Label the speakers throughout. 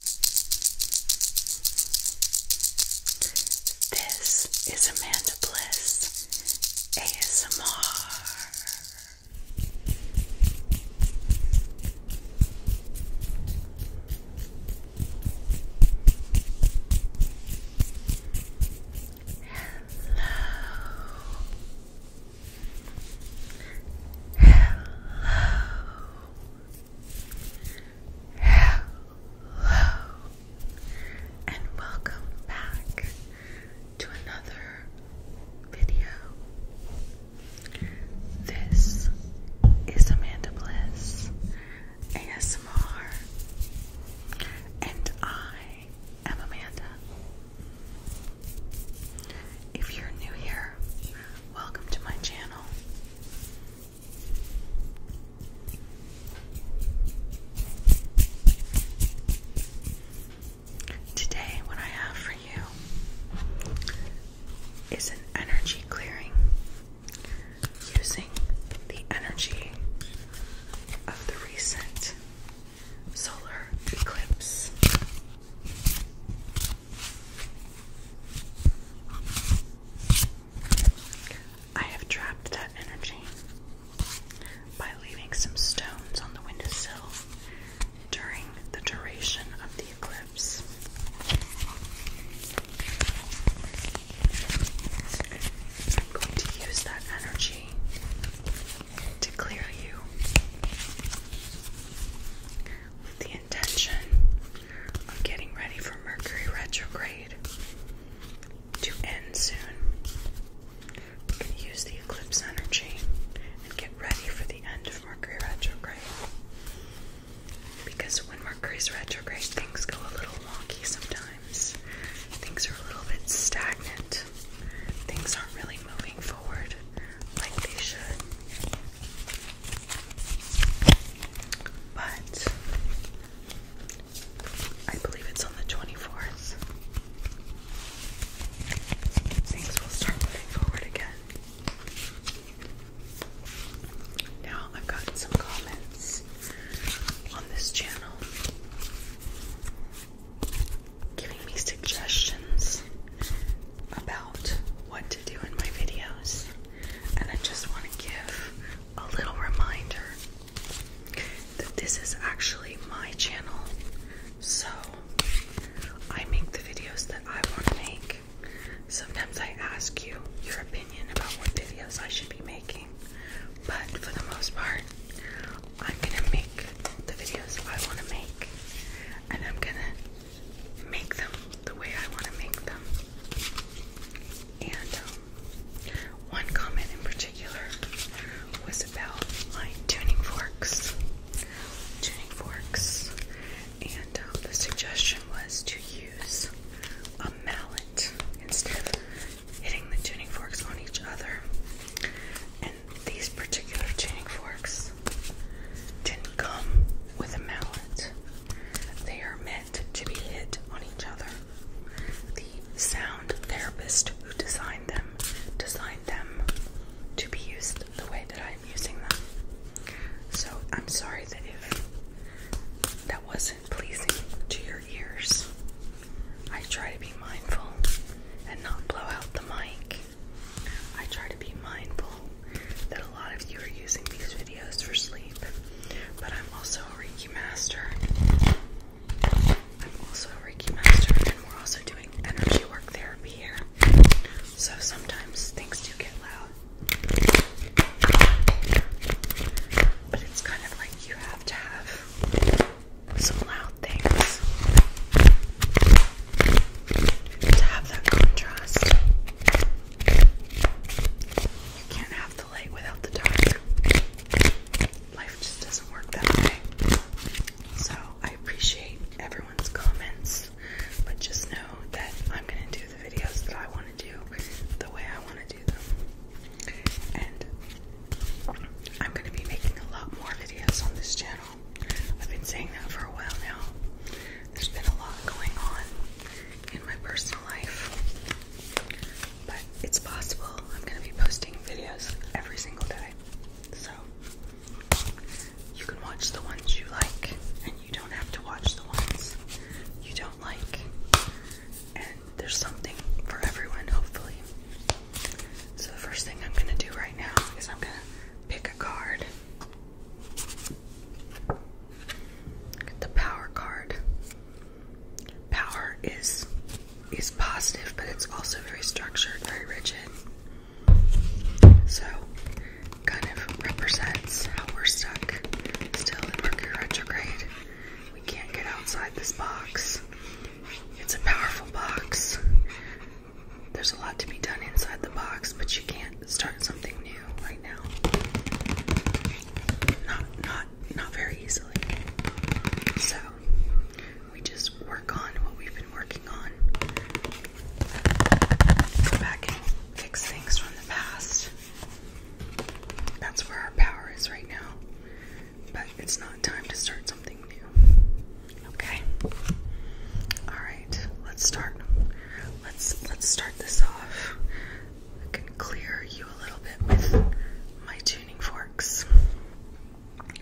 Speaker 1: This is Amanda Bliss ASMR. Hello. Hello. Hello, and welcome back to another video. This is Amanda Bliss and I am Amanda. If you're new here, welcome to my channel. Today, what I have for you is an energy clearing using the energy of the recent solar eclipse. I have trapped that energy by leaving some stones on the windowsill during the duration of the eclipse. I'm going to use that energy to clear you intention on getting ready for Mercury retrograde to end soon. use the eclipse energy and get ready for the end of Mercury retrograde. Because when Mercury's retrograde, things go a little wonky sometimes. Things are a little bit stagnant. Things aren't really moving forward like they should. But I believe it's on the 24th. Things will start moving forward again. Now, I've gotten some comments on this channel giving me suggestions about what to do in my videos and I just want to give a little reminder that this is actually my channel, so I make the videos that I want to make. Sometimes I ask you your opinion about what videos I should be making, but for the most part, I'm gonna make the videos I want to make, and I'm gonna make them the way I want to make them. And um, one comment in particular was about my tuning forks. Tuning forks. And um, the suggestion was to use a mallet instead of hitting the tuning forks on each other. And these particular tuning forks didn't come with a mallet. They are meant to be hit on each other. The sound therapist who designed them designed them to be used the way that I'm using them. So I'm sorry that if that wasn't pleasing to your ears. I try to be mindful and not blow out the mic. I try to be mindful that a lot of you are using these videos for sleep, but I'm also a Reiki master. I'm also a Reiki master, and we're also doing energy work therapy here. So sometimes things do get loud. But it's kind of like you have to have some loud things to have that contrast. You can't have the light without the dark. Life just doesn't work that way. So I appreciate everyone's comments, but just know that I'm gonna do the videos that I wanna do the way I wanna do them. And I'm gonna be making a lot more videos on this channel. I've been saying that for a while now. There's been a lot going on, in my personal life. But it's possible I'm going to be posting videos every single day. So you can watch the ones you like, and you don't have to watch the ones you don't like. And there's something for everyone, hopefully. So the first thing I'm going to do right now is I'm going to pick a card. Get the power card. Power is is positive, but it's also very structured, very rigid. So kind of represents how we're stuck still in Mercury retrograde. We can't get outside this box. It's a powerful box. There's a lot to be done inside the box, but you can't start something new right now. Not not not very easily. So we just work on what we've been working on. Go back and fix things from the past. That's where our power is right now. But it's not time to start something new. Okay? Alright let's start. Let's let's start this off. I can clear you a little bit with my tuning forks.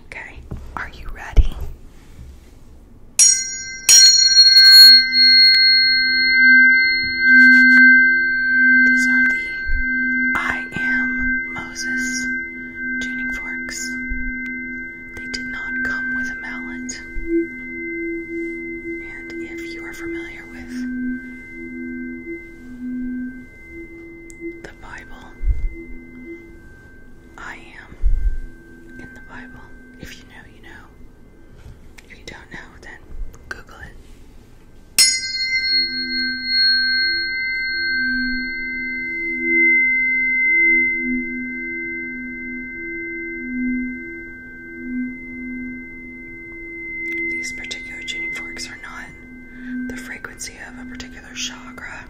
Speaker 1: Okay, are you ready? These are the I Am Moses tuning forks. They did not come with a mallet, and if you are familiar with the Bible, I am in the Bible. If you know, you know. If you don't know, then Google it. These particular tuning forks are not the frequency of a particular chakra.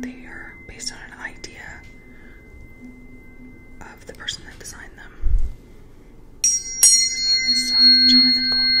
Speaker 1: They are based on an idea of the person that designed them. His name is uh, Jonathan Goldman.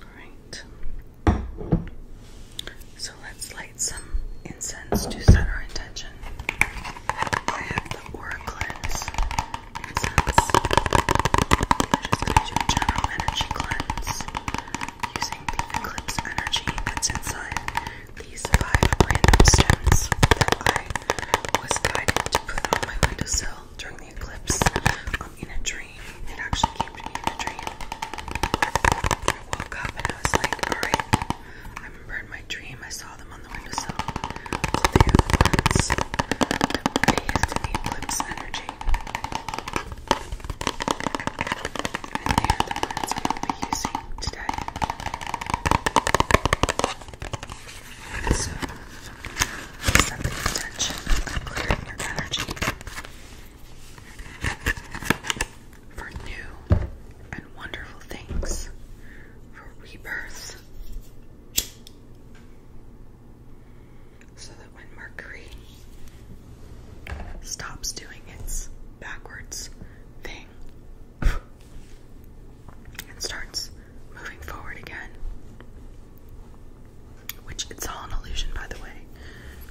Speaker 1: Alright. So let's light some incense to set our intention. I have the aura incense. I'm just going to do general energy cleanse using the Eclipse energy that's inside these five random stems that I was guided to put on my windowsill during the eclipse um, in a dream. It actually came me in a dream. I woke up and I was like, alright, I remember in my dream I saw them on the windowsill all the other ones that were based energy. And they are the ones we will be using today. So, set the intention of clearing your energy for new and wonderful things, for rebirth so that when Mercury stops doing its backwards thing and starts moving forward again, which it's all an illusion, by the way,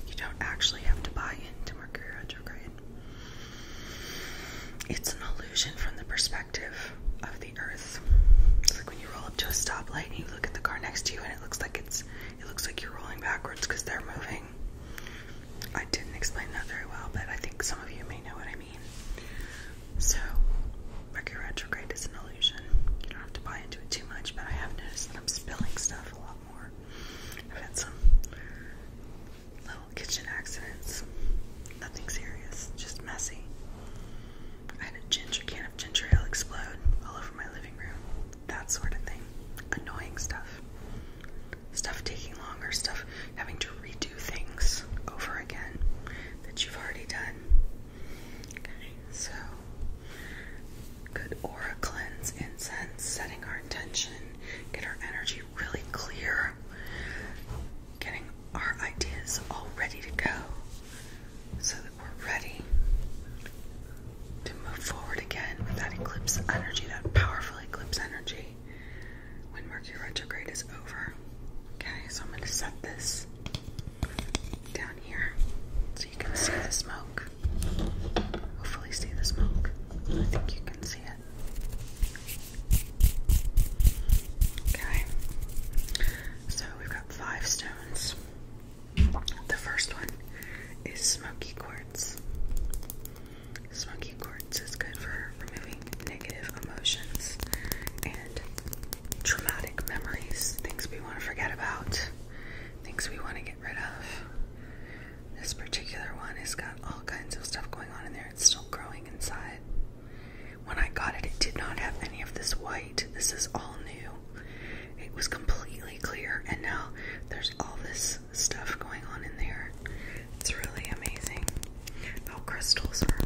Speaker 1: you don't actually have to buy into Mercury retrograde. It's an illusion from the perspective perspective of the earth. It's like when you roll up to a stoplight and you look at the car next to you and it looks like it's it looks like you're rolling backwards because they're moving. I didn't explain that very well, but I think some of you may know what I mean. So Mercury retrograde is an illusion. You don't have to buy into it too much, but I have noticed that I'm spilling stuff a lot more. I've had some little kitchen accidents. Nothing serious, just messy. I had a ginger can of ginger ale explode all over my living room. That sort of thing. Annoying stuff. Stuff taking longer, stuff having to redo things over again that you've already done. Okay, so good aura cleanse incense, setting our intention, get our energy really clear, getting our ideas all ready to go so that we're ready to move forward again with that eclipse energy, that powerful eclipse energy when Mercury retrograde is over. Okay, so I'm going to set this down here so you can see the smoke. Hopefully, see the smoke. I think you can see it. Okay. So we've got five stones. The first one is smoky quartz. Smoky quartz is good for removing negative emotions and traumatic memories, things we want to forget about, things we want to get rid of. This particular one has got all kinds of stuff going on in there. It's still growing inside. When I got it, it did not have any of this white. This is all new. It was completely clear, and now there's all this stuff going on in there. It's really amazing how crystals are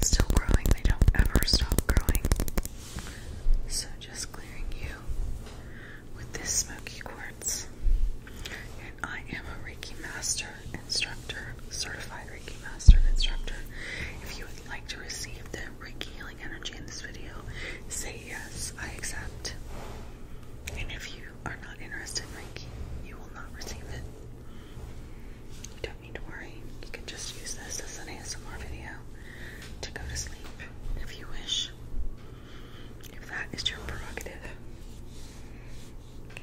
Speaker 1: still growing, they don't ever stop growing. So, just clearing you with this smoky quartz. And I am a Reiki Master instructor, certified Reiki Master instructor. If you like to receive the Reiki healing energy in this video, say yes, I accept. And if you are not interested in Reiki, you will not receive it. You don't need to worry. You can just use this as an ASMR video to go to sleep if you wish. If that is your prerogative. Okay.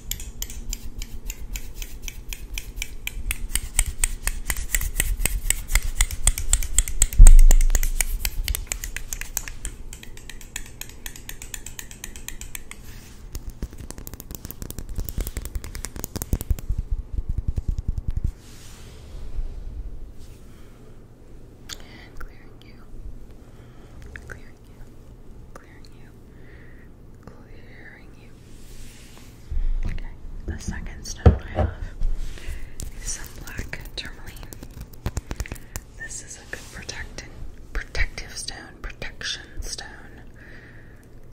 Speaker 1: And clearing you, clearing you, clearing you, clearing you, Okay, the second stone I have is some black tourmaline. This is a good protectant, protective stone, protection stone.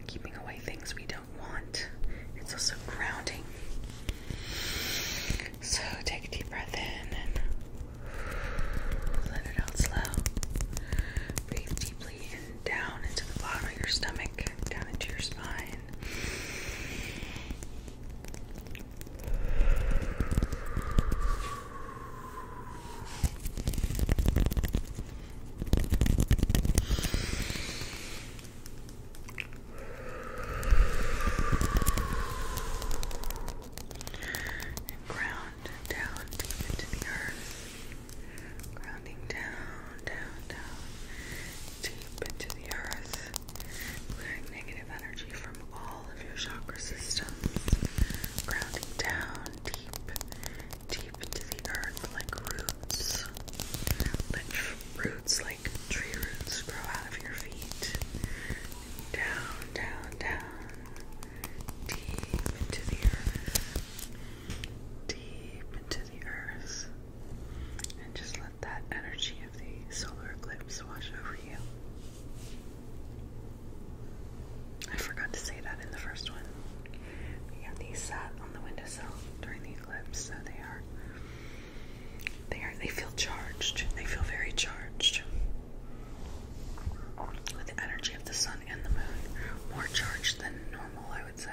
Speaker 1: Keeping away things we don't want. It's also grounding. So take a deep breath in and let it out slow. Breathe deeply down into the bottom of your stomach, down into your spine. And ground down into the earth grounding down, down, down, deep into the earth, clearing negative energy from all of your chakra systems, grounding down deep, deep into the earth like roots. Let roots like tree roots grow out of your feet. Down, down, down, deep into the earth deep into the earth and just let that energy of the solar eclipse wash over you. I forgot to say that in the first one. We got these sat on the windowsill during the eclipse, so they are they are they feel charged. They feel very charged. With the energy of the sun and the moon, more charged than normal, I would would say.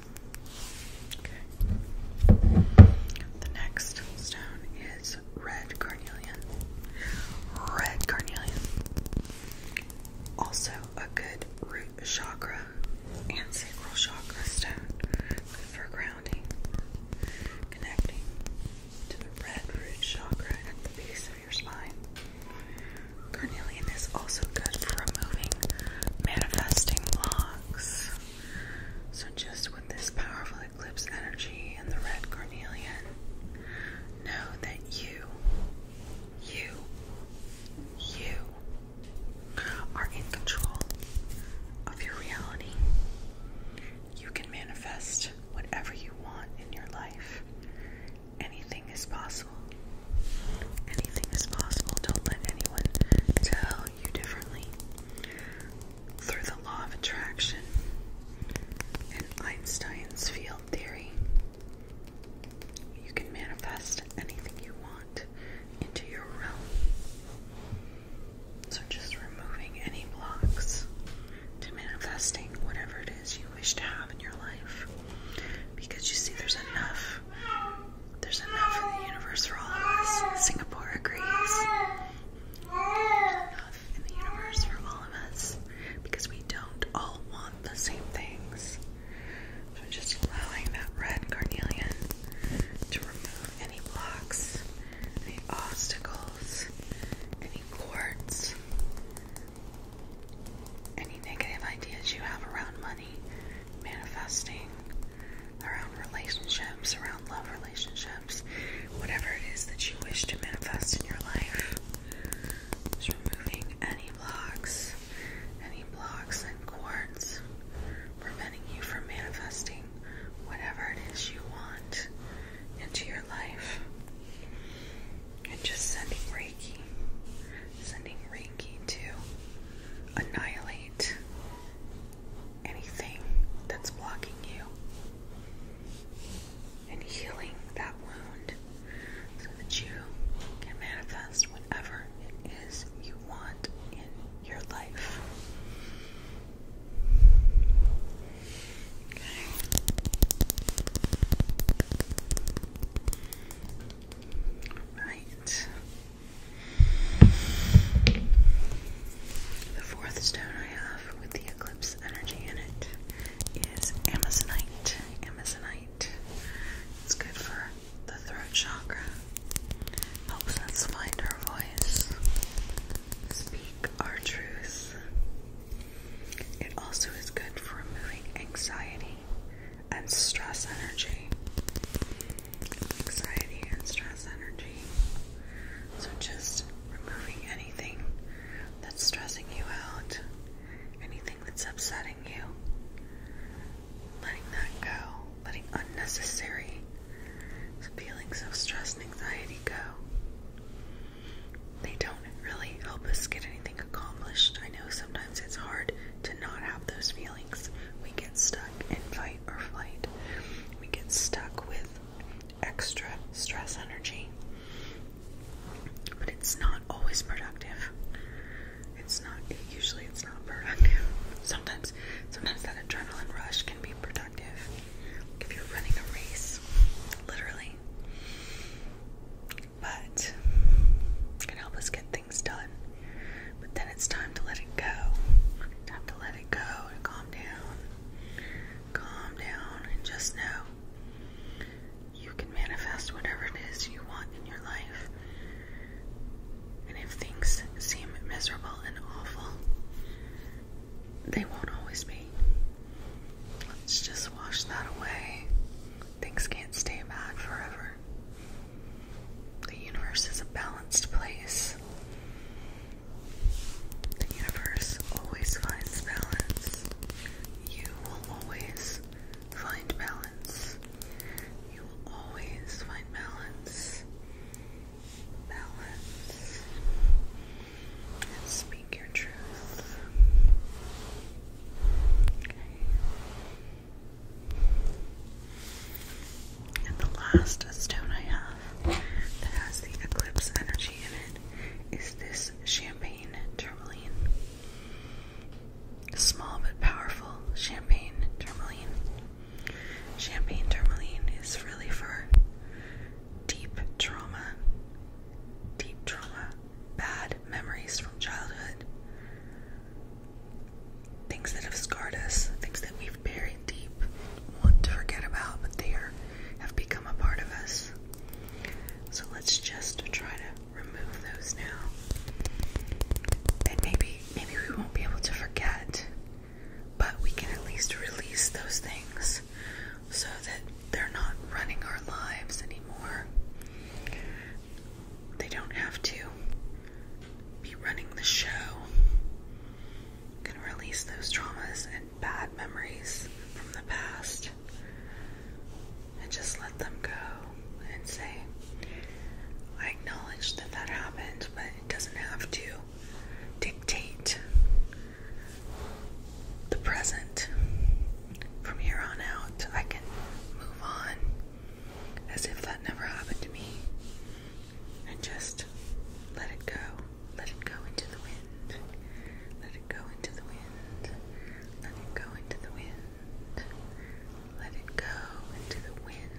Speaker 1: The next stone is red carnelian. Red carnelian. Also a good root chakra and sacral chakra stone. Good for grounding. Connecting to the red root chakra at the base of your spine. Carnelian is also good for removing manifesting blocks. So, just with this powerful eclipse energy and the red carnelian, know that you, you, you are in control of your reality. You can manifest whatever you want in your life. Anything is possible. Anything is possible. Don't let anyone tell you differently through the law of attraction and Einstein's field theory. You can manifest anything you want into your realm. So, just removing any blocks to manifesting whatever it is you wish to have in your life. Because you see, there's enough there's enough in the universe for all of us. Singapore agrees. Enough in the universe for all of us because we don't all want the same things. So just allowing that red carnelian to remove any blocks, any obstacles, any quartz, any negative ideas you have around money, manifesting around relationships, around love relationships, whatever it is that you wish to manifest in your life. removing any blocks, any blocks and cords preventing you from manifesting whatever it is you want into your life. And just sending Reiki, sending Reiki to annihilate anything that's blocking you and healing that wound so that you can manifest whatever it is you want in your life. Okay. Right. The fourth stone I have with the eclipse energy in it is Amazonite. Amazonite. It's good for the throat chakra. Helps us find our voice. Speak our truth. It also is good for removing anxiety and stress energy anxiety and stress energy. So, just removing anything that's stressing you out, anything that's upsetting you, letting that go, letting unnecessary feelings of stress and anxiety go. They don't really help us get anything accomplished. I know sometimes it's hard to not have those feelings. We get stuck and fight or flight. We get stuck with extra stress energy. But it's not always productive. It's not usually it's not productive. Sometimes sometimes that adrenaline rush can be productive. if you're running a race, literally. But it can help us get things done. But then it's time to let it go. Time to let it go and calm down. Calm down and just know you can manifest whatever it is you want in your life. And if things seem miserable and awful, they won't always be. Let's just wash that away. Things can't stay bad forever. The universe is a balanced place. The universe always finds balance. You will always find balance. You will always find balance. Balance. speak your truth. Okay. And the last stone I have that has the eclipse energy in it is this champagne tourmaline. Small but powerful champagne tourmaline. Champagne tourmaline is really for deep trauma, deep trauma, bad memories from childhood things that have scarred us, things that we've buried deep, want to forget about, but they are, have become a part of us. So let's just try to remove those now. And maybe maybe we won't be able to forget, but we can at least release those things so that they're not running our lives anymore. They don't have to be running the show can release those traumas and bad memories from the past and just let them go and say, I acknowledge that that happened, but it doesn't have to dictate the present. From here on out, I can move on as if that never happened to me and just let it go. Let it go into the wind. Let it go into the wind. Let it go into the wind. Let it go into the wind.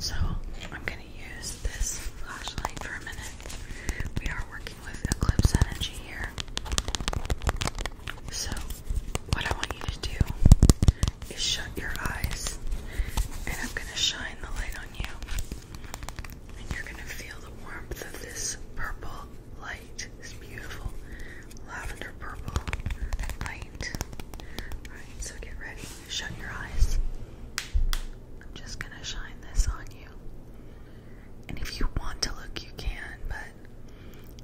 Speaker 1: So, I'm going to use this flashlight for a minute. We are working with Eclipse Energy here. So, what I want you to do is shut your eyes, and I'm going to shine the light on you. And you're going to feel the warmth of this purple light, this beautiful lavender purple light. Alright, so get ready. Shut your eyes. I'm just going to shine this on you. And if you want to look, you can, but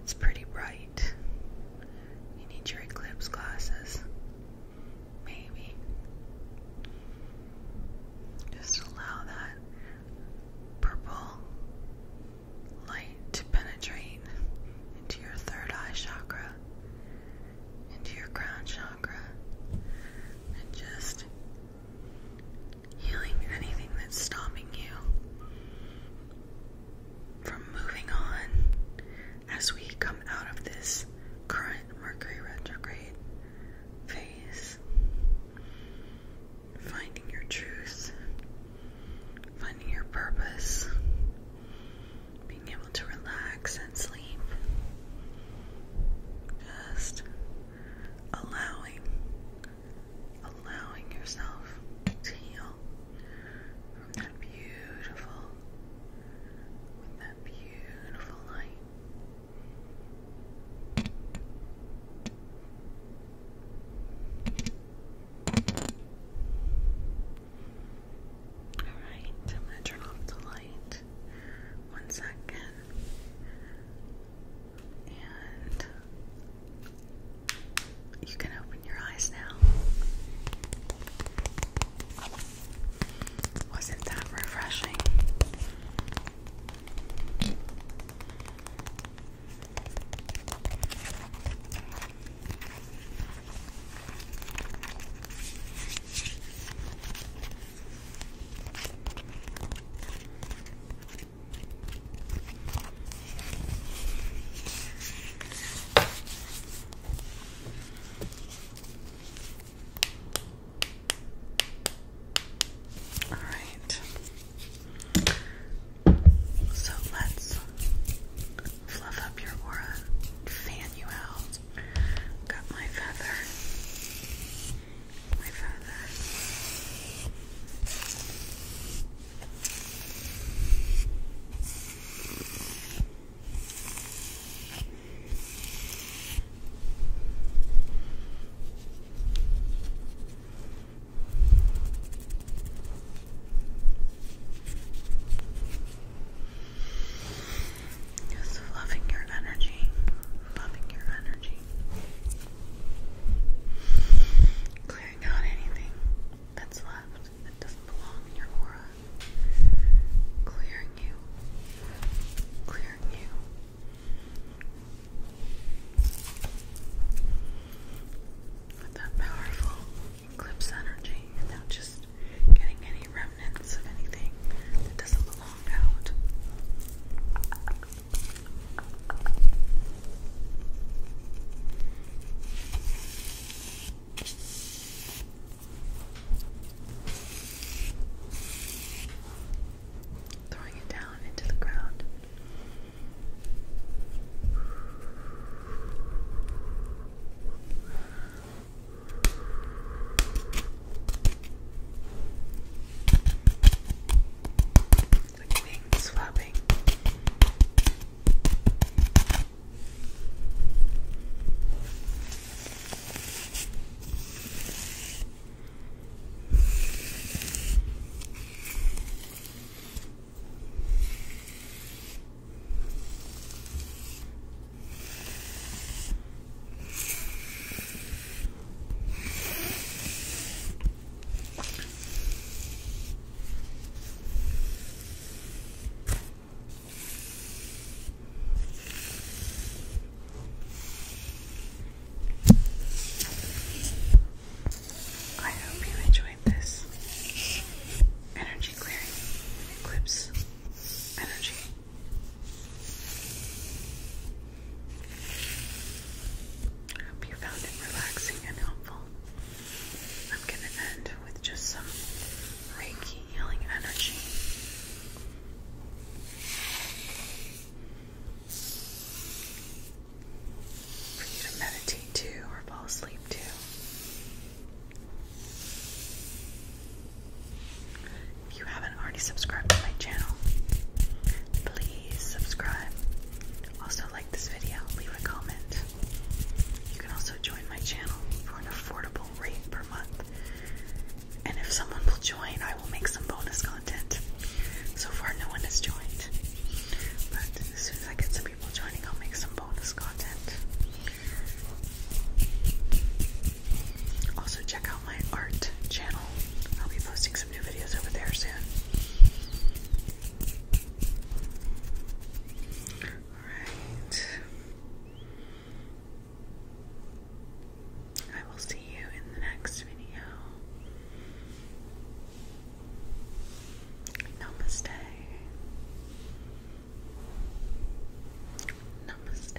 Speaker 1: it's pretty bright. You need your eclipse glasses. Maybe. Just allow that purple light to penetrate into your third eye chakra, into your crown chakra, and just healing anything that's stopping you from moving on as we come out of this current Mercury retrograde phase. Finding your truth, finding your purpose, being able to relax and sleep. Just allowing allowing yourself to heal from that beautiful, that beautiful light. Alright, I'm going to turn off the light. One second. And you can open your eyes now. Wasn't that refreshing? All right. So let's fluff up your aura, fan you out. Got my feather my father. loving your energy, loving your energy. Clearing out anything that's left that doesn't belong in your aura. Clearing you. Clearing you. With that powerful eclipse energy, now just getting any remnants of anything that doesn't belong out. Throwing it down into the ground. Like wings flapping. I hope you enjoyed this energy clearing eclipse energy. I hope you found it relaxing and helpful. I'm gonna end with just some Reiki healing energy. For you to meditate to or fall asleep to. If you haven't already subscribed to my channel, please please subscribe. Also, like this video, leave a comment. You can also join my channel for an affordable rate per month. And if someone will join, I will make some bonus content. So far, no one has joined. But as soon as I get some people joining, I'll make some bonus content. Also, check out my art channel. I'll be posting some new videos over there soon. Alright. I will see you in the next video. Namaste. Namaste.